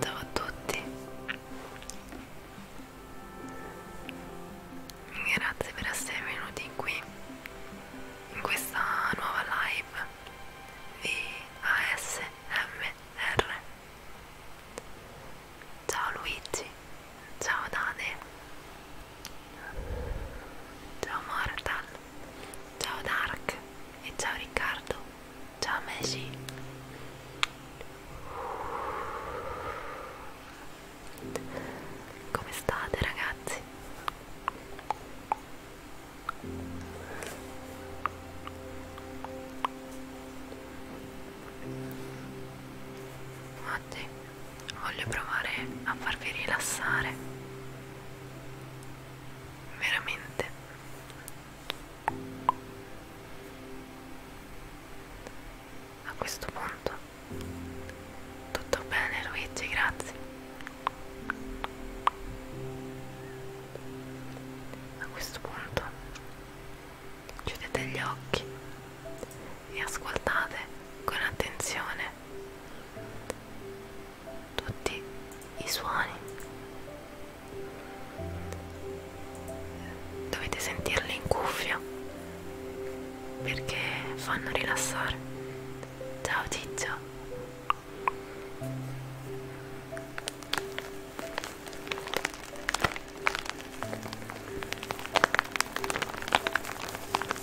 Ciao a tutti, grazie per essere venuti qui in questa nuova live di ASMR. Ciao Luigi. Ciao Dane. Ciao Mortal. Ciao Dark. E ciao Riccardo. Ciao Messi. Come state ragazzi? Oggi voglio provare a farvi rilassare veramente a questo punto tutto bene Luigi grazie a questo punto chiudete gli occhi e ascoltate con attenzione tutti i suoni. Dovete sentirli in cuffia perché fanno rilassare. Ciao Ciccio!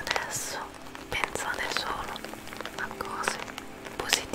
Adesso pensate solo a cose positive.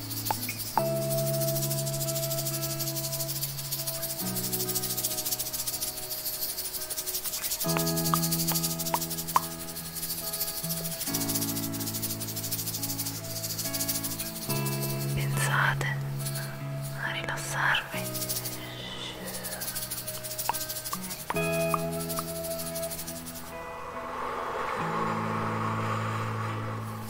Pensate a rilassarvi.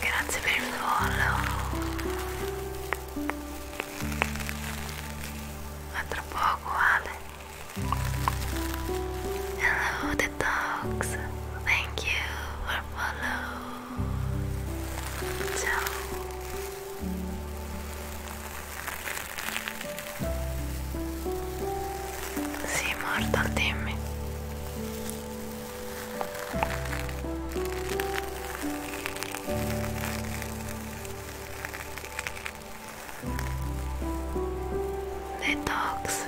Grazie per il follow. A tra poco, Ale. Hello, the dogs. Thank you for follow. Ciao. Sì, Marta, dimmi. Detox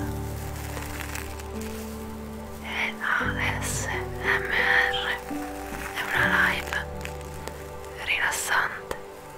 LASMR è una live rilassante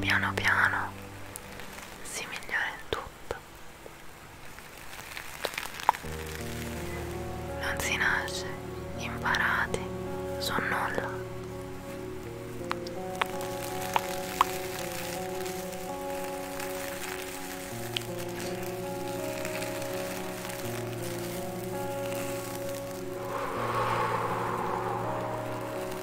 piano piano si migliora in tutto. Non si nasce imparati su nulla.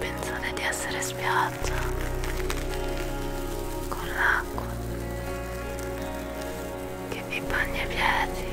Pensate di essere spiaggia con l'acqua che vi bagna i piedi.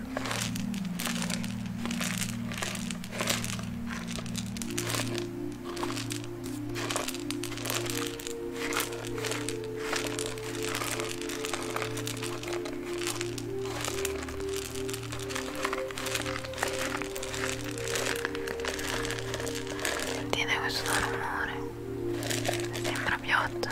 Sentite questo rumore? Sembra piotta.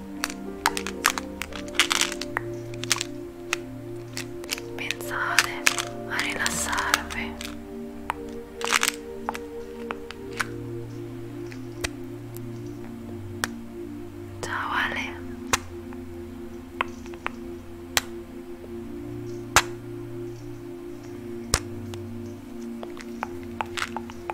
Ecco. Pensate a rilassarvi. Ciao Ale.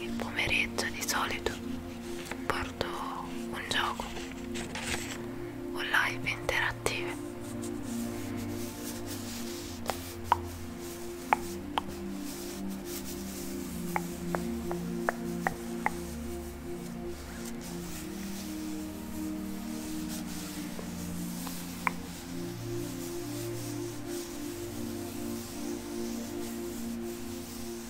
il pomeriggio di solito porto un gioco o live interattive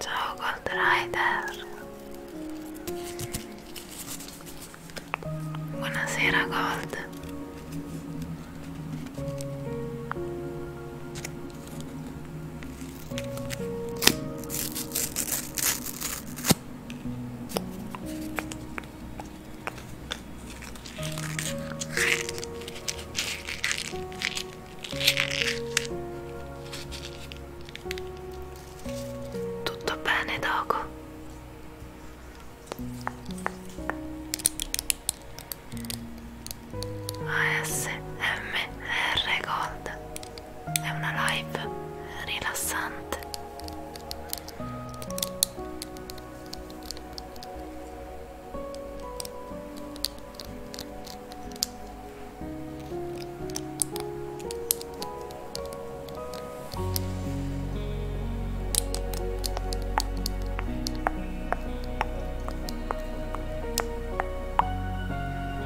Ciao Gold Rider. Buonasera Gold. Tutto bene, Dogo? ASMR Gold è una live rilassante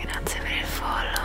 Grazie per il follow.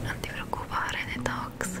Non ti preoccupare, detox.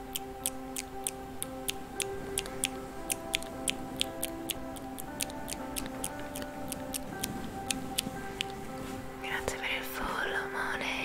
Grazie per il follow, Money.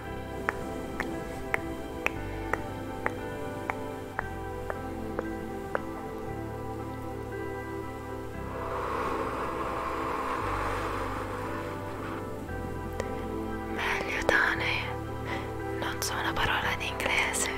Meglio Dane, non so una parola in inglese.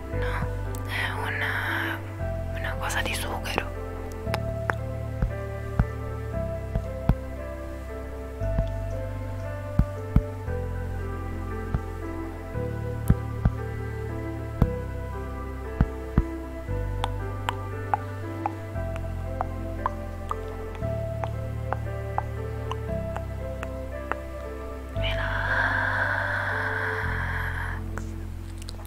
no, è una, una cosa di sughero Relax.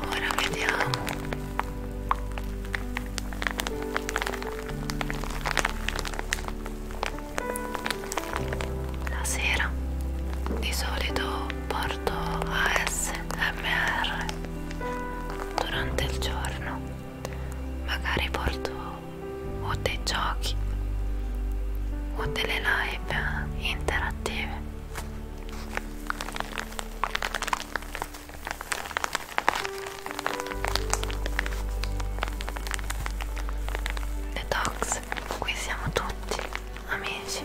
ora vediamo la sera di solito porto ASMR durante il giorno magari porto o dei giochi o delle live interattive Detox, qui siamo tutti amici.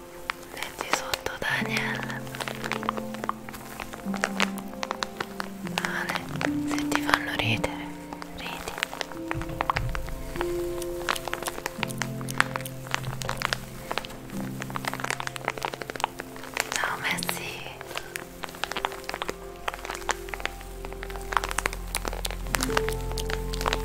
leggi sotto Daniel Ale, se ti fanno ridere, ridi Ciao Messi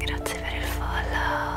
Grazie per il follow.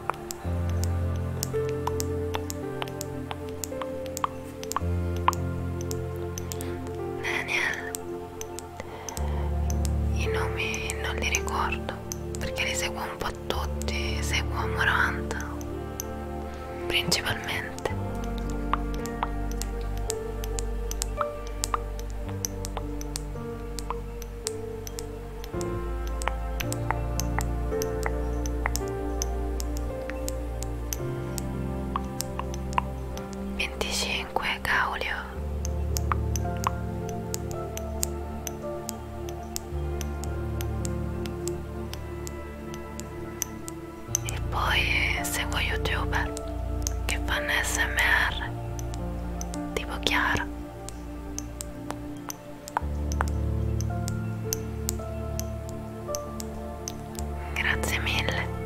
Daniel i nomi non li ricordo perché li seguo un po' tutti seguo Moranta principalmente 25 Gaulio 25 e poi eh, seguo youtuber che fanno smr tipo Chiara Grazie mille. Grazie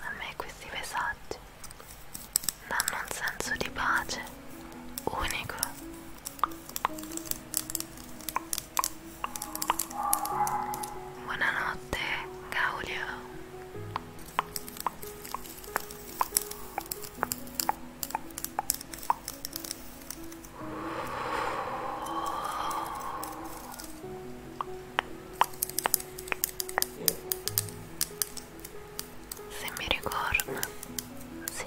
A me questi messaggi danno un senso di pace unico. Buonanotte, Gaulio. Se mi ricordo, sì.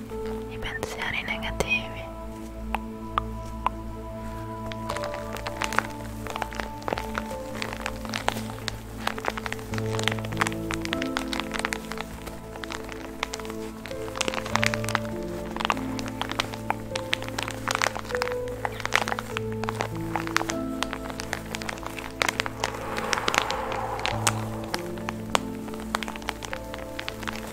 i pensieri negativi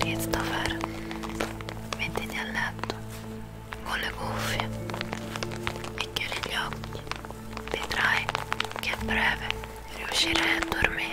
Christopher, mettiti a letto con le cuffie e chiudi gli occhi. Vedrai che a breve riuscirai a dormire.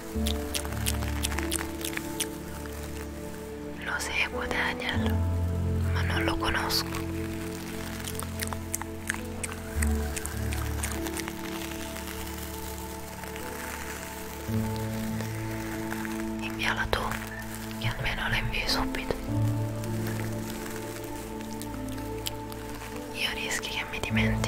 Lo seguo Daniel, ma non lo conosco. Inviala tu, che almeno la invii subito. Io rischi che mi dimentico.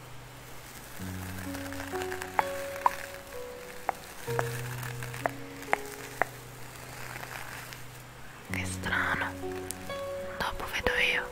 Che strano, dopo vedo io.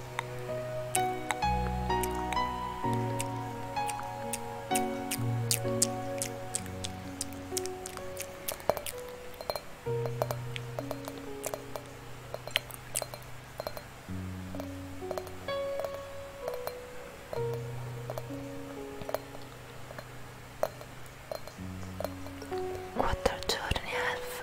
Quattro giorni elf.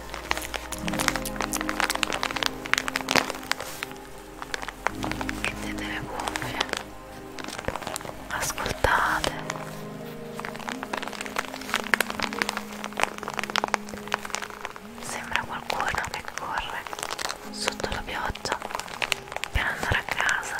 mettete le cuffie ascoltate sembra qualcuno che corre sotto la pioggia per andare a casa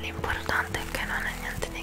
L'importante importante es que no niente de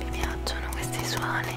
Mi piacciono questi suoni.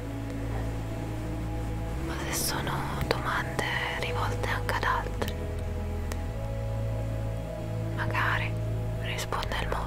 ma se sono domande rivolte anche ad altri magari risponde il mod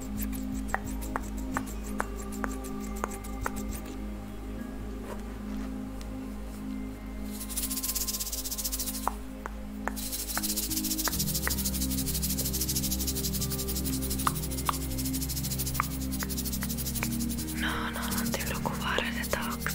No, no, non ti preoccupare detox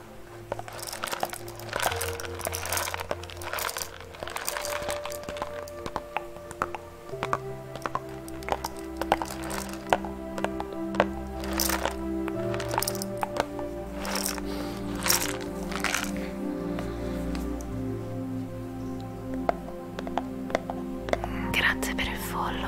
Grazie per il follow.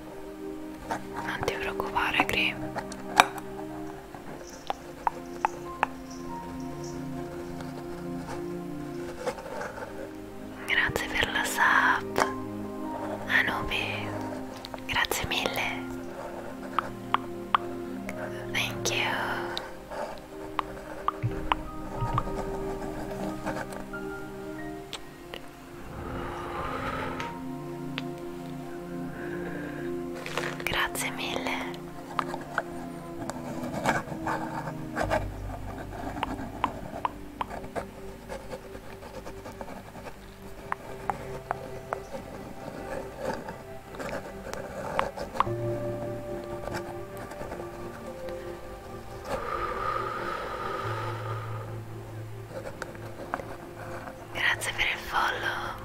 non ti preoccupare Grim grazie per la sub Anubi grazie mille thank you Grazie mille. Grazie per il follow.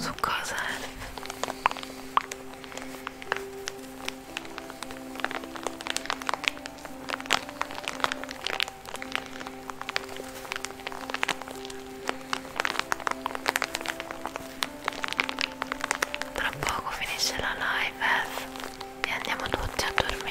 Su cosa? Eh? Tra poco finisce la live eh? e andiamo tutti a dormire.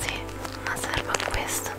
Sì, ma serve a questo.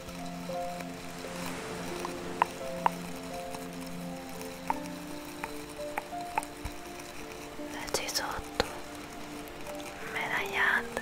Leggi sotto, medagliate.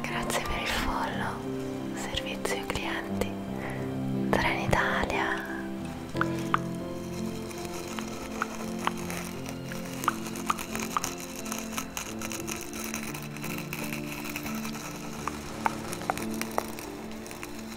Grazie per il follow, servizio clienti, Trenitalia.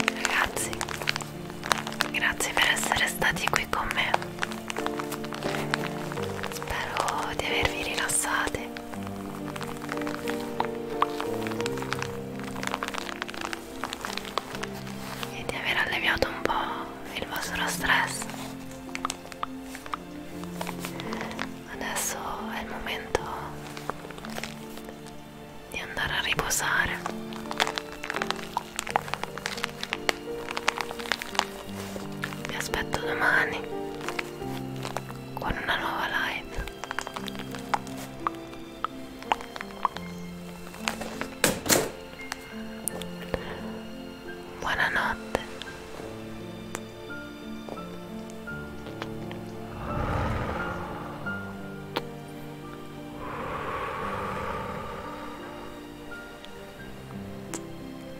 Ragazzi, grazie per essere stati qui con me. Spero di avervi rilassati. E di aver alleviato un po' il vostro stress. Adesso è il momento di andare a riposare. Vi aspetto domani con una nuova live. Buonanotte.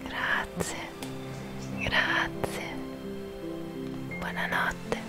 Grazie. Grazie. Buonanotte.